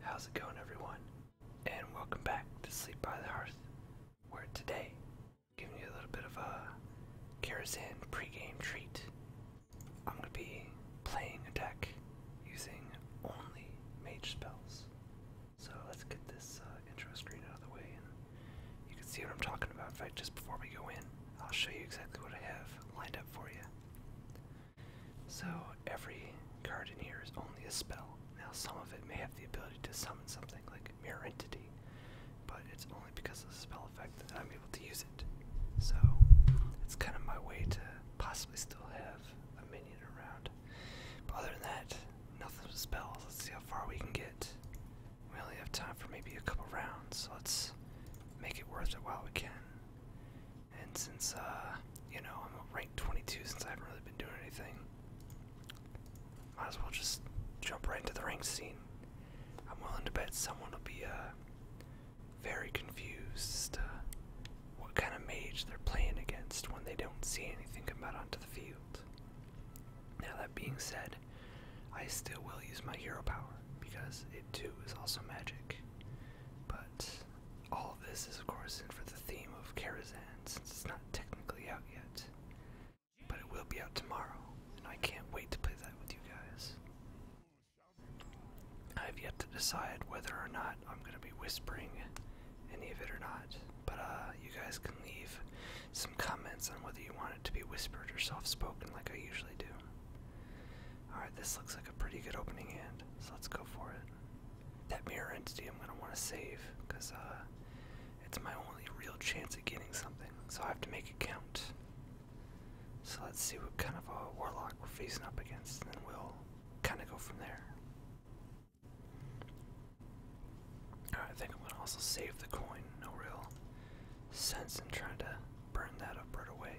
How's it going, everyone? And welcome back to Sleep by the Hearth, where today I'm giving you a little bit of a pre-game treat. I'm going to be playing a deck using only mage spells. So let's get this uh, intro screen out of the way, and you can see what I'm talking about. In fact, just before we go in, I'll show you exactly what I have lined up for you. So every card in here is only a spell. Now some of it may have the ability to summon something like Mirror Entity, but it's only because of the spell effect that I'm able to use it. So it's kind of my way to possibly still have a minion around. But other than that, nothing with spells. Let's see how far we can get. We only have time for maybe a couple rounds, so let's make it worth it while we can. And since, uh, you know, I'm ranked 22 since I haven't really been doing anything, might as well just jump right into the rank scene. I'm willing to bet someone will be, uh, very confused what kind of mage they're playing against when they don't see anything come out onto the field. Now, that being said, I still will use my hero power because it too is also magic. But all this is, of course, in for the theme of Karazhan since it's not technically out yet. But it will be out tomorrow, and I can't wait to play that with you guys. I've yet to decide whether or not I'm going to be whispering any of it or not, but uh, you guys can leave some comments on whether you want it to be whispered or soft spoken like I usually do. Alright, this looks like a pretty good opening hand, so let's go for it that mirror entity I'm gonna want to save because uh, it's my only real chance at getting something. So I have to make it count. So let's see what kind of a warlock we're facing up against, and then we'll kind of go from there. I think I'm gonna also save the coin. No real sense in trying to burn that up right away.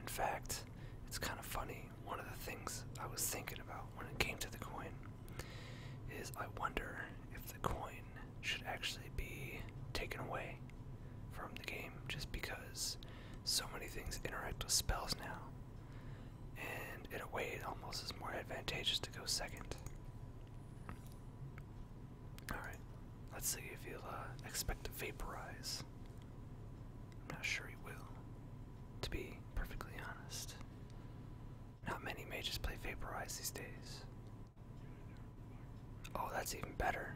In fact, it's kind of funny one of the things I was thinking about when it came to the coin is I wonder if the coin should actually be taken away from the game just because so many things interact with spells now. And in a way, it almost is more advantageous to go second. Alright, let's see if you'll uh, expect to vaporize. I'm not sure he will, to be perfectly honest. Not many mages play Vaporize these days. Oh, that's even better.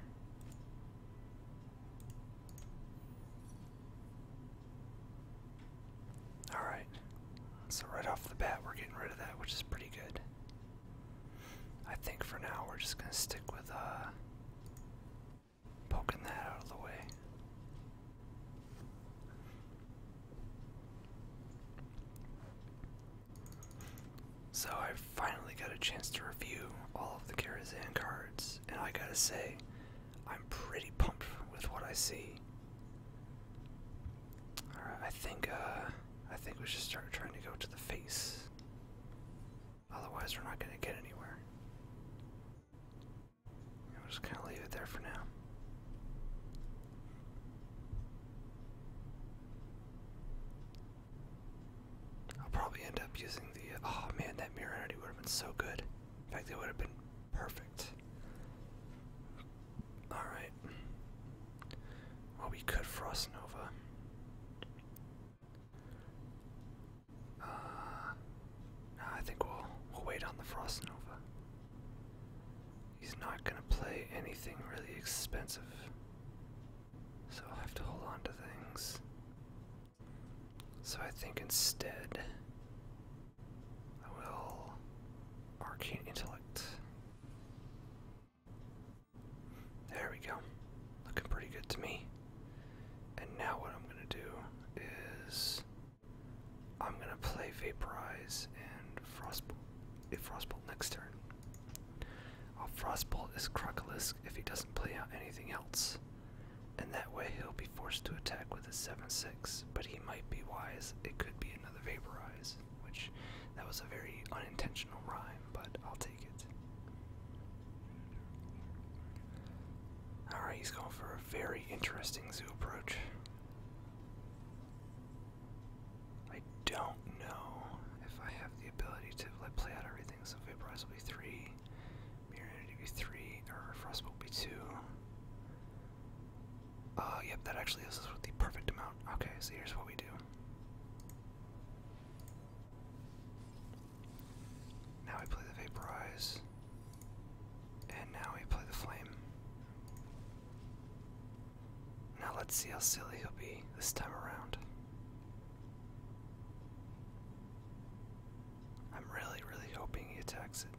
Alright, so right off the bat, we're getting rid of that, which is pretty good. I think for now, we're just gonna stick with, uh, poking that out of the way. So I finally got a chance to review all of the Karazhan cards, and I gotta say, I'm pretty pumped with what I see. Alright, I think uh, I think we should start trying to go to the face. Otherwise, we're not going to get anywhere. I'll just kind of leave it there for now. I'll probably end up using the. Oh man, that mirror energy would have been so good. In fact, it would have been perfect. Alright. Well, we could Frost Nova. Uh, I think we'll wait on the Frost Nova. He's not gonna play anything really expensive, so I'll have to hold on to things. So I think instead I will Arcane Intellect. There we go. Looking pretty good to me. And now what I'm gonna do is I'm gonna play Vaporize and Frostbolt. a Frostbolt next turn. i uh, Frostbolt is Crocolisk if he doesn't play out anything else. And that way he'll be forced to attack with a 7-6, but he might be wise. It could be another Vaporize, which that was a very unintentional rhyme, but I'll take it. Alright, he's going for a very interesting zoo approach. I don't know if I have the ability to play out everything, so Vaporize will be 3, Mirror will be 3, or Frost will be 2. Uh, yep, that actually is the perfect amount. Okay, so here's what we do. Now we play the Vaporize. And now we play the Flame. Now let's see how silly he'll be this time around. I'm really, really hoping he attacks it.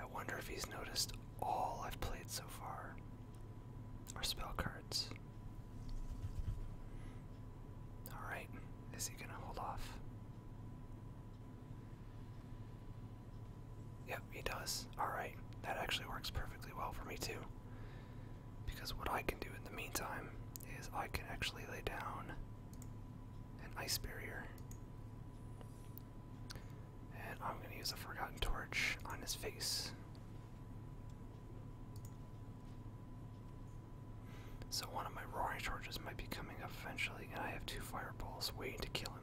I wonder if he's noticed all I've played so far are spell cards. Alright, is he gonna hold off? Yep, he does. Alright, that actually works perfectly well for me too. Because what I can do in the meantime is I can actually lay down an ice barrier. And I'm gonna use a forgotten torch on his face. So one of my roaring charges might be coming up eventually, and I have two fireballs waiting to kill him.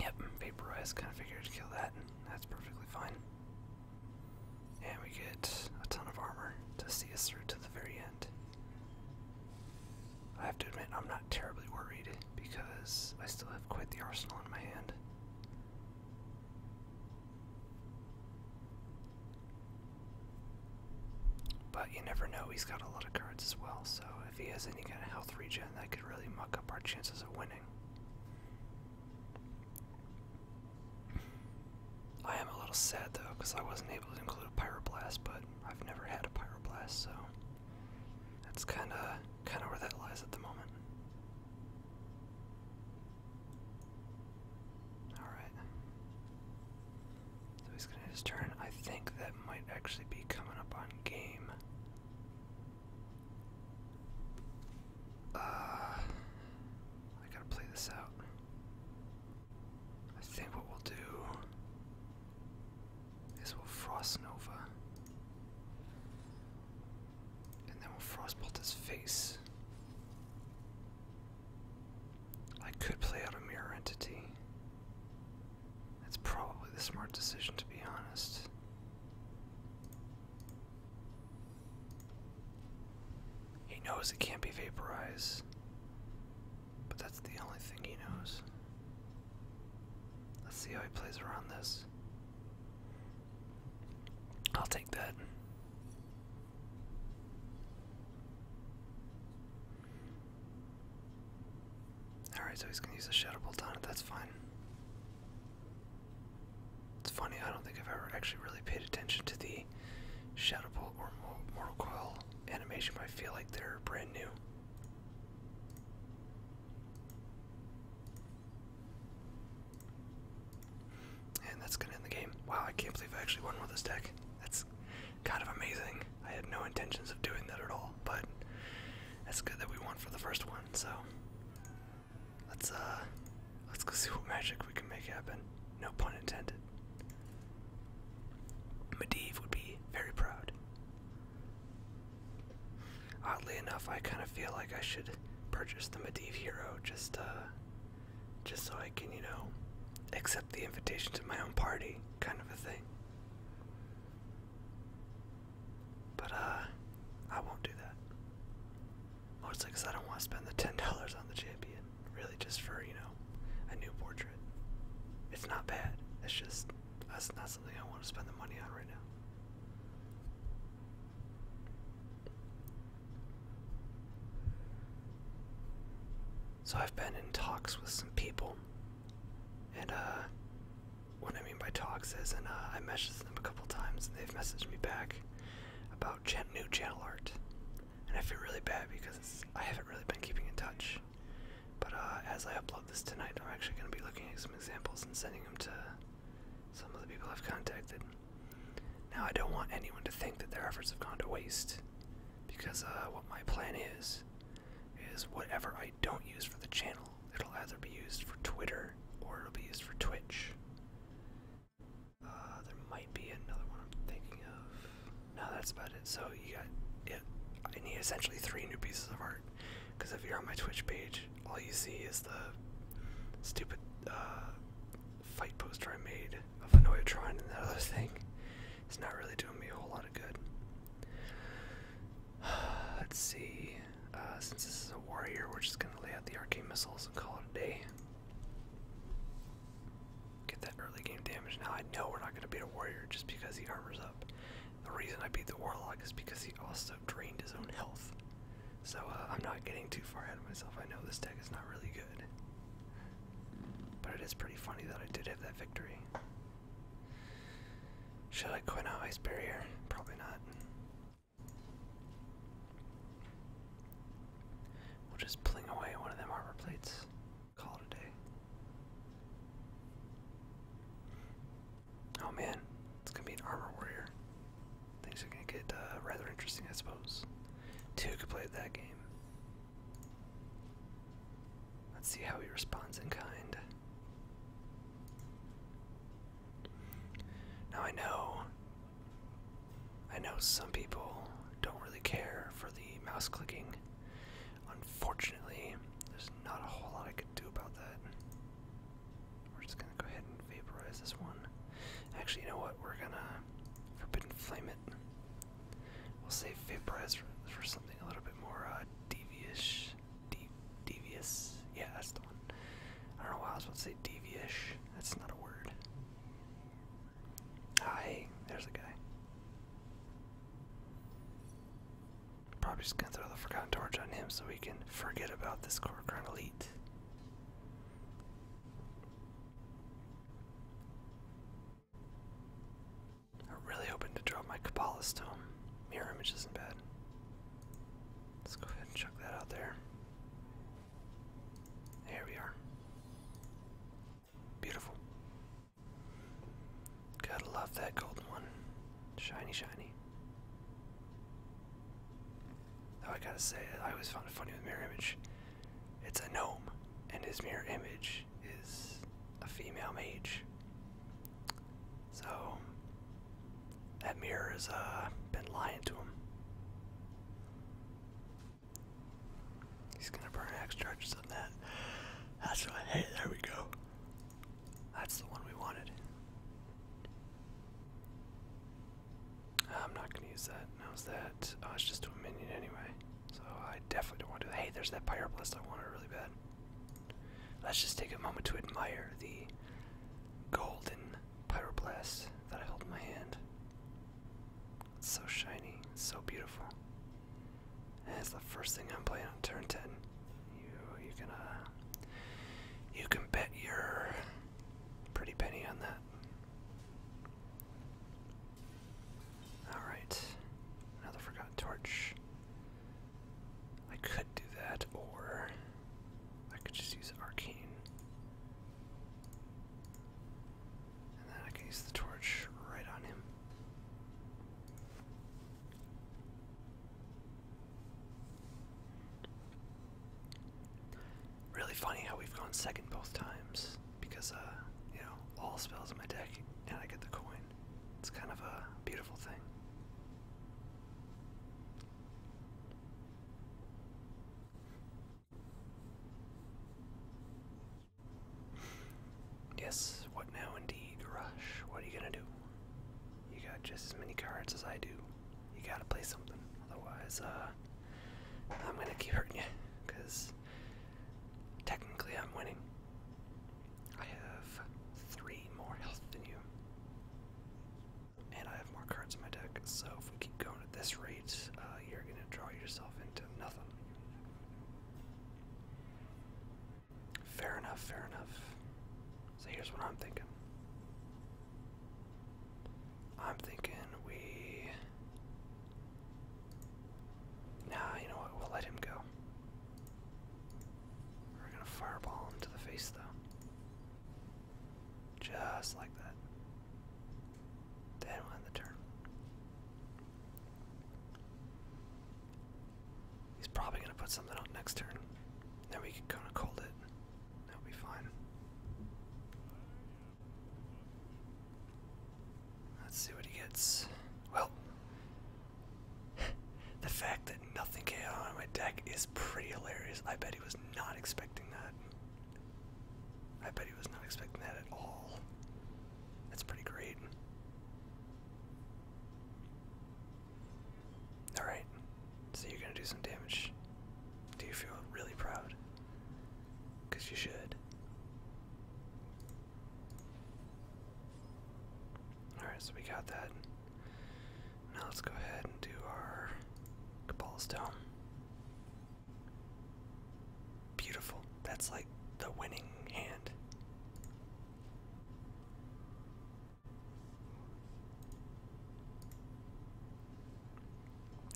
Yep, vaporize, kind of figured to kill that, that's perfectly fine. And we get a ton of armor to see us through to the very end. I have to admit, I'm not terribly worried because I still have quite the arsenal in my hand. But you never know, he's got a lot of cards as well, so if he has any kind of health regen, that could really muck up our chances of winning. I am a little sad though, because I wasn't able to include a pyroblast, but I've never had a pyroblast, so that's kind of kind of where that lies at the moment. Alright. So he's gonna his turn. I think that might actually be coming up on game. Uh I gotta play this out. I think what we'll do is we'll frost Nova. And then we'll frostbolt his face. I could play out a mirror entity. That's probably the smart decision, to be honest. He knows it can't be vaporized, but that's the only thing he knows. Let's see how he plays around this. I'll take that. Alright, so he's gonna use a shadow bolt on it, that's fine. It's funny, I don't think I've ever actually really paid attention to the Shadow Bolt or Mortal Coil animation, but I feel like they're brand new. And that's gonna end the game. Wow, I can't believe I actually won with this deck. That's kind of amazing. I had no intentions of doing that at all, but that's good that we won for the first one, so let's uh let's go see what magic we can make happen. No pun intended. Medivh would be very proud. Oddly enough, I kind of feel like I should purchase the Medivh Hero just, uh, just so I can, you know, accept the invitation to my own party, kind of a thing. But, uh, I won't do that. Mostly because I don't want to spend the $10 on the champion, really just for, you know, a new portrait. It's not bad, it's just, that's not something I want to spend the money on right now. So I've been in talks with some people, and uh, what I mean by talks is, and uh, I messaged them a couple times, and they've messaged me back about ch new channel art, and I feel really bad because I haven't really been keeping in touch. But uh, as I upload this tonight, I'm actually going to be looking at some examples and sending them to some of the people I've contacted. Now, I don't want anyone to think that their efforts have gone to waste, because uh, what my plan is, is whatever I don't use for the channel, it'll either be used for Twitter or it'll be used for Twitch. Uh, there might be another one I'm thinking of. No, that's about it. So you got, yeah, I need essentially three new pieces of art. Because if you're on my Twitch page, all you see is the stupid uh, fight poster I made of Anoyatron and that other thing. It's not really doing me a whole lot of good. Let's see. Uh, since this is a warrior, we're just going to lay out the arcane missiles and call it a day. Get that early game damage. Now I know we're not going to beat a warrior just because he armors up. The reason I beat the Warlock is because he also drained his own health. So uh, I'm not getting too far ahead of myself. I know this deck is not really good. But it is pretty funny that I did have that victory. Should I quit out Ice Barrier? Probably not. We'll just pling away one of them armor plates. Call it a day. Oh man, it's gonna be an armor warrior. Things are gonna get uh, rather interesting, I suppose. Two could play that game. Let's see how he responds in kind. Now I know, I know some people don't really care for the mouse clicking. Unfortunately, there's not a whole lot I could do about that. We're just gonna go ahead and vaporize this one. Actually, you know what? We're gonna forbidden flame it. We'll save vaporize for, something a little bit more uh, devious. De devious. Yeah, that's the one. I don't know why I was about to say devious. That's not a word. Hi. Ah, there's a guy. Probably just gonna throw the Forgotten Torch on him so we can forget about this core Corcoran Elite. I'm really hoping to draw my Kabbalah Stone. Mirror image isn't bad. Let's go ahead and chuck that out there. There we are. Beautiful. Gotta love that golden one. Shiny, shiny. Though I gotta say, I always found it funny with mirror image. It's a gnome, and his mirror image is a female mage. So, that mirror has uh, been lying to him. He's gonna burn X charges on that. That's what I There we go. That's the one we wanted. I'm not gonna use that. How's that? Oh, it's just to a minion anyway. So I definitely don't want to. Hey, there's that pyroblast. I want it really bad. Let's just take a moment to admire the golden pyroblast that I hold in my hand. It's so shiny, so beautiful. And it's the first thing I'm playing on turn 10. You you can uh, you can bet your pretty penny on that. All right, another forgotten torch. I could do that, or I could just use arcane, and then I can use the torch right on him. Really funny how we've gone second both times because, uh, you know, all spells in my deck and I get the coin. It's kind of a beautiful thing. Yes, what now indeed, Rush? What are you gonna do? you got just as many cards as I do. You gotta play something, otherwise, uh, I'm gonna keep hurting you, because technically I'm winning. I have three more health than you, and I have more cards in my deck, so if we keep going at this rate, uh, you're gonna draw yourself into nothing. Fair enough, fair enough. So here's what I'm thinking. I'm thinking we. Nah, you know what? We'll let him go. We're gonna fireball him to the face, though. Just like that. Then we'll end the turn. He's probably gonna put something on next turn. Then we can kind of cold it. That'll be fine. Let's see what he gets. Well, the fact that nothing came on my deck is pretty hilarious. I bet he was not expecting that. I bet he was not expecting that at all. That's pretty great. Alright, so you're gonna do some damage. Do you feel really proud? Because you should. Alright, so we got that. Now let's go ahead and do our Cabal Beautiful. That's like the winning hand.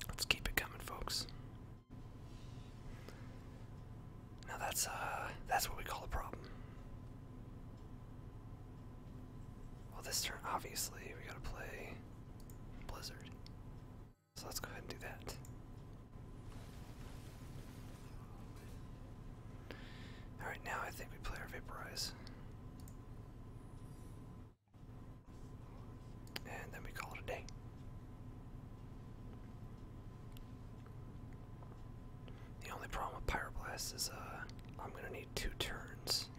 Let's keep it coming, folks. Now that's uh that's what we call a problem. Well this turn obviously we gotta play Blizzard. So let's go ahead and do that. Alright, now I think we play our Vaporize. And then we call it a day. The only problem with Pyroblast is uh, I'm going to need two turns.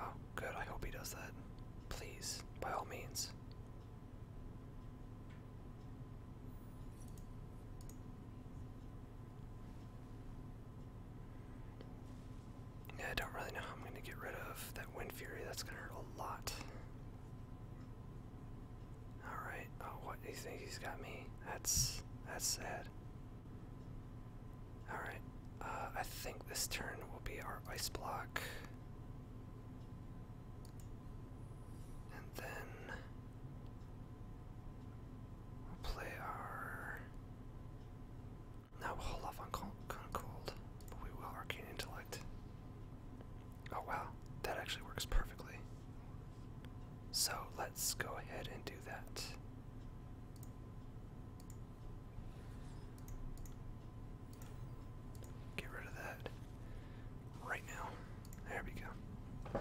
Oh, good. I hope he does that. Please, by all means. Yeah, I don't really know how I'm going to get rid of that Wind Fury. That's going to hurt a lot. Alright. Oh, what? You think he's got me? That's, that's sad. Alright. Uh, I think this turn will be our Ice Block. And then We'll play our. No, we'll hold off on Concold, but we will Arcane Intellect. Oh wow, that actually works perfectly. So let's go ahead and do that. Get rid of that right now. There we go.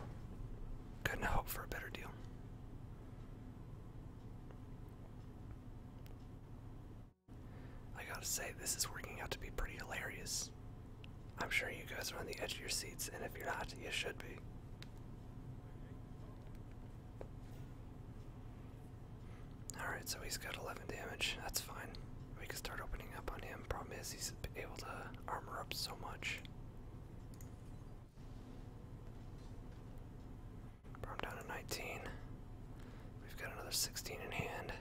Couldn't hope for a better deal. I gotta say, this is working out to be pretty hilarious. I'm sure you guys are on the edge of your seats, and if you're not, you should be. Alright, so he's got 11 damage. That's fine. We can start opening up on him. Problem is, he's able to armor up so much. I'm down to 19. We've got another 16 in hand.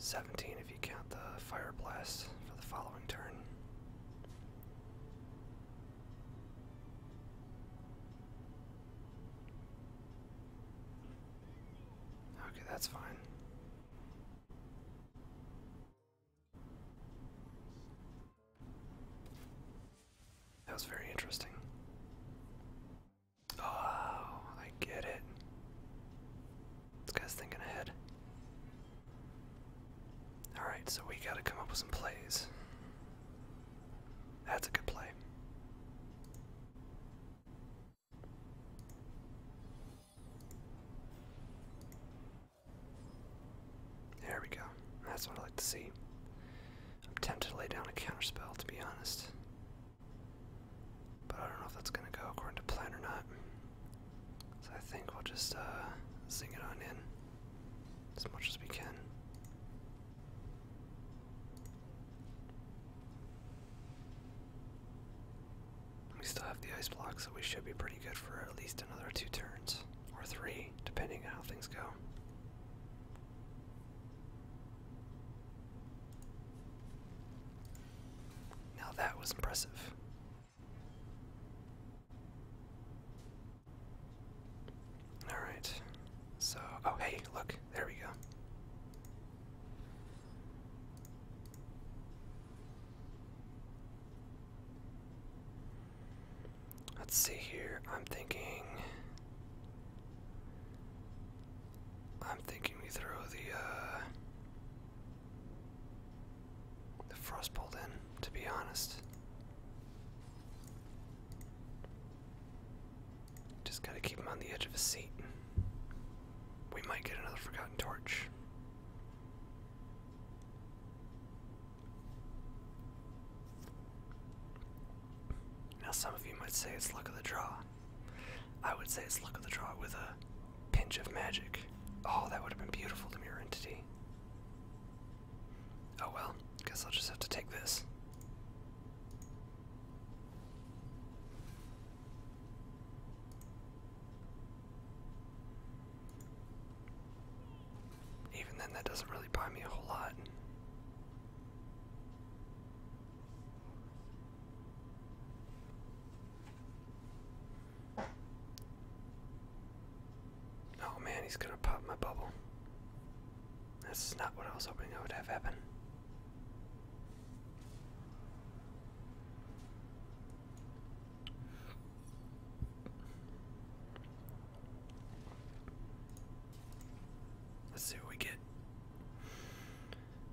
17 if you count the fire blast for the following turn. Okay, that's fine. That was very interesting. Oh, I get it. This guy's thinking ahead. Alright, so we gotta come up with some plays. That's a good play. There we go. That's what I like to see. I'm tempted to lay down a counter spell, to be honest. But I don't know if that's going to go according to plan or not. So I think we'll just uh, zing it on in as much as we can. We still have the ice block, so we should be pretty good for at least another two turns, or three, depending on how things go. Now that was impressive. Alright, so, oh hey, look, there we go. Let's see here. I'm thinking. I'm thinking we throw the uh, the frostbolt then. To be honest, just gotta keep him on the edge of his seat we might get another Forgotten Torch. Now, some of you might say it's luck of the draw. I would say it's luck of the draw with a pinch of magic. Oh, that would have been beautiful to Mirror Entity. Oh well, guess I'll just have to take this. Even then, that doesn't really buy me a whole lot. Oh man, he's gonna pop my bubble. That's not what I was hoping would have happen. Let's see what we get.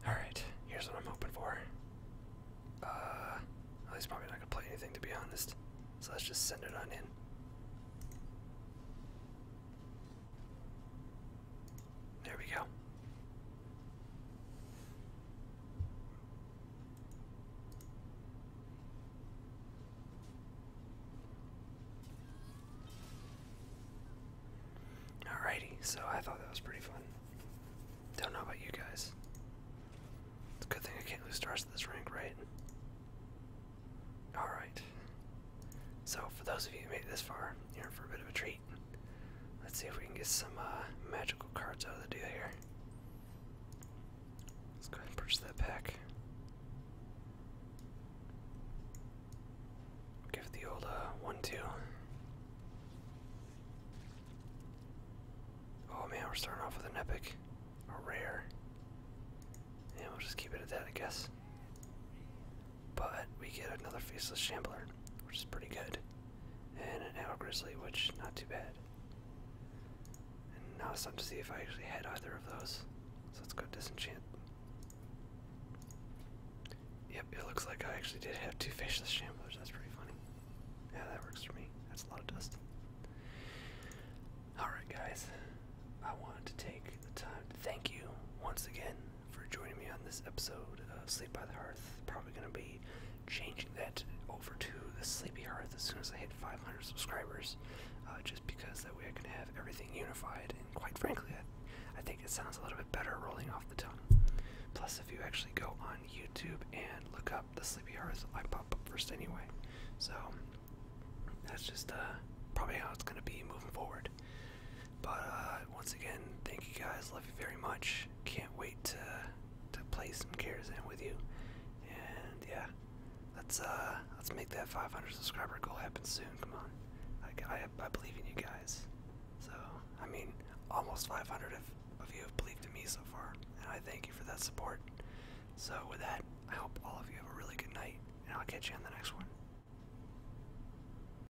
Alright, here's what I'm hoping for. Uh, he's probably not going to play anything, to be honest. So let's just send it on in. There we go. Alrighty, so I thought that was pretty fun. Don't know about you guys. It's a good thing I can't lose stars to this rank, right? Alright. So, for those of you who made this far, you're for a bit of a treat. Let's see if we can get some uh, magical cards out of the deal here. Let's go ahead and purchase that pack. Give it the old uh, one-two. Oh man, we're starting off with an epic, a rare, and we'll just keep it at that, I guess. But we get another Faceless Shambler, which is pretty good. And an Arrow Grizzly, which not too bad. And now it's time to see if I actually had either of those. So let's go disenchant. Yep, it looks like I actually did have two Faceless Shamblers. That's pretty funny. Yeah, that works for me. That's a lot of dust. Alright, guys. I wanted to take the time to thank you once again for joining me on this episode of Sleep by the Hearth. Probably going to be changing that over to the Sleepy Hearth as soon as I hit 500 subscribers, uh, just because that way I can have everything unified. And quite frankly, I, think it sounds a little bit better rolling off the tongue. Plus, if you actually go on YouTube and look up the Sleepy Hearth, I pop up first anyway. So that's just uh, probably how it's going to be moving forward. But uh, once again, thank you guys. Love you very much. Can't wait to to play some Karazhan with you. And yeah, let's uh, let's make that 500 subscriber goal happen soon. Come on, I, I, I believe in you guys. So I mean, almost 500 of, of you have believed in me so far, and I thank you for that support. So with that, I hope all of you have a really good night, and I'll catch you on the next one.